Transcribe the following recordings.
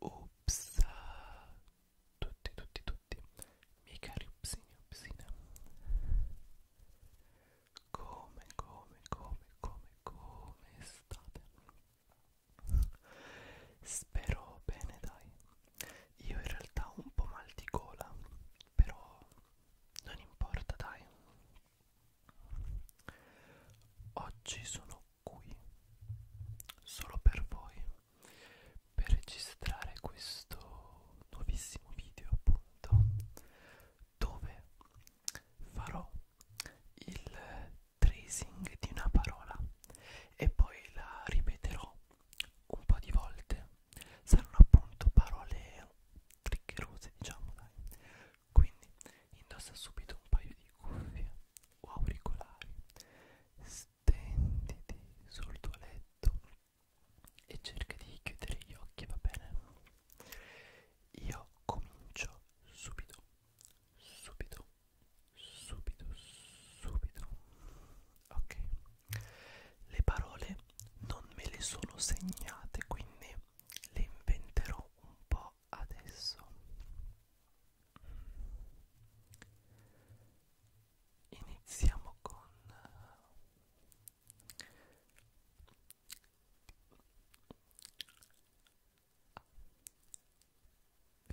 Ups, tutti, tutti, tutti, miei cari upsini, upsine. Come, come, come, come, come state? Spero bene, dai. Io in realtà ho un po' mal di gola, però non importa, dai. Oggi sono qui solo per voi per registrare questo nuovissimo video, appunto, dove farò il tracing di una parola e poi la ripeterò un po' di volte saranno appunto parole triccherose diciamo dai quindi indossa subito un paio di cuffie o auricolari stenditi sul tuo letto e cerca di chiudere gli occhi va bene io comincio subito subito subito subito ok le parole non me le sono segnate quindi le inventerò un po' adesso iniziamo con eh, a, B,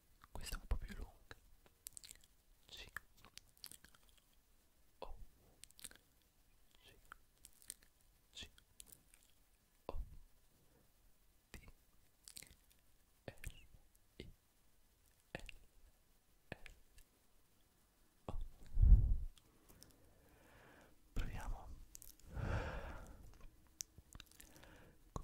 questa è un po' più lunga. C O C C O D R I L L O Proviamo. Cu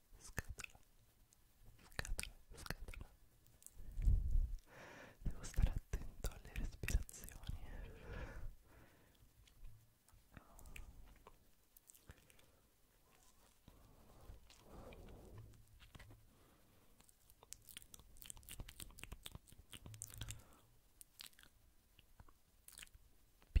Scatola, scatola, scatola. Devo stare attento alle respirazioni. P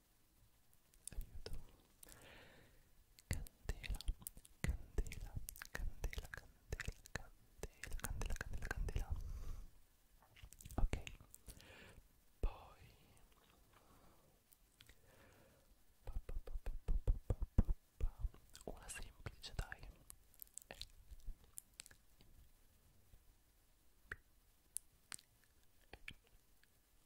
aiuto candela candela candela candela candela candela candela candela ok poi una semplice dai e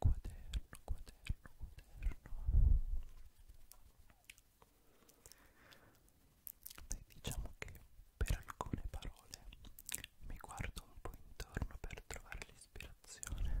quaderno, quaderno, quaderno. Beh, diciamo che per alcune parole mi guardo un po' intorno per trovare l'ispirazione.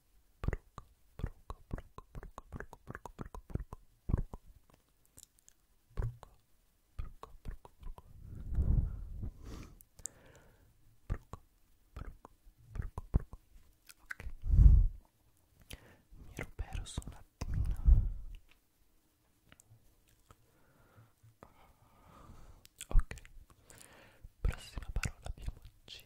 mi ero perso un attimino ok prossima parola abbiamo C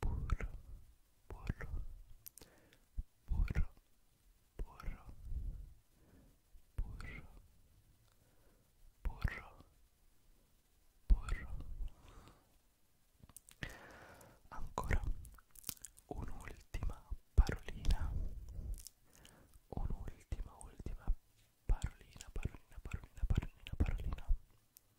burro, burro, burro, burro, burro, burro, burro. Ancora un'ultima parolina, un'ultima, ultima parolina, parolina, parolina, parolina, parolina.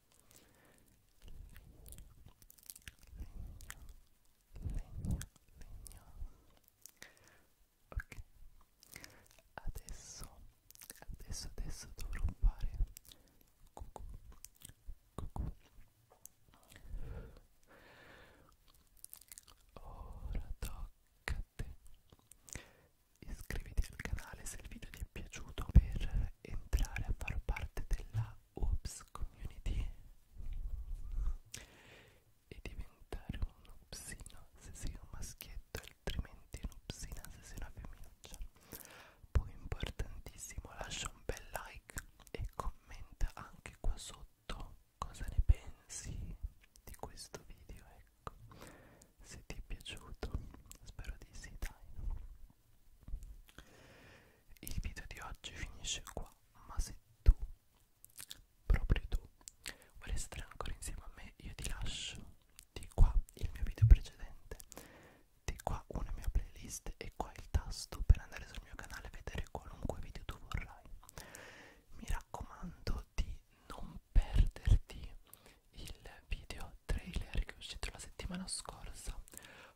legno, legno ok adesso adesso adesso dovrò fare cucù cucù ora tocca a te iscriviti al canale se il video ti è piaciuto per entrare a far parte della Oops Community e diventare un upsino se sei un maschietto, altrimenti un upsina se sei una femminuccia. Poi importantissimo, lascia un bel like e commenta anche qua sotto cosa ne pensi di questo video, ecco. Se ti è piaciuto, spero di sì, dai. Il video di oggi finisce qua, ma se tu, proprio tu, vuoi restare ancora insieme a me, io ti lascio di qua il mio video precedente, di qua una mia playlist e qua il tasto per andare sul mio canale e vedere qualunque video tu vorrai. Mi raccomando di non perderti il video trailer che è uscito la settimana scorsa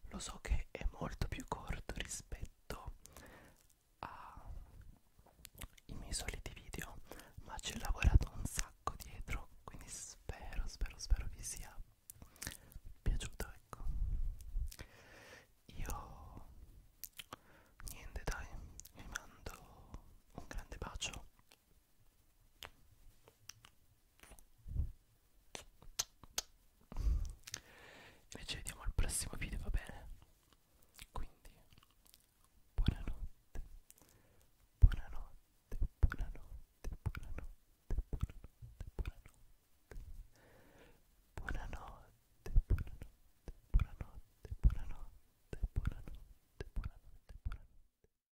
lo so che è molto più corto rispetto ai miei soliti video ma ci ho lavorato un sacco dietro quindi spero spero spero vi sia piaciuto ecco io niente dai vi mando un grande bacio e ci vediamo al prossimo video, va bene? Quindi, buonanotte, buonanotte, buonanotte, buonanotte, buonanotte, buonanotte, buonanotte, buonanotte, buonanotte, buonanotte, buonanotte, buonanotte, buonanotte.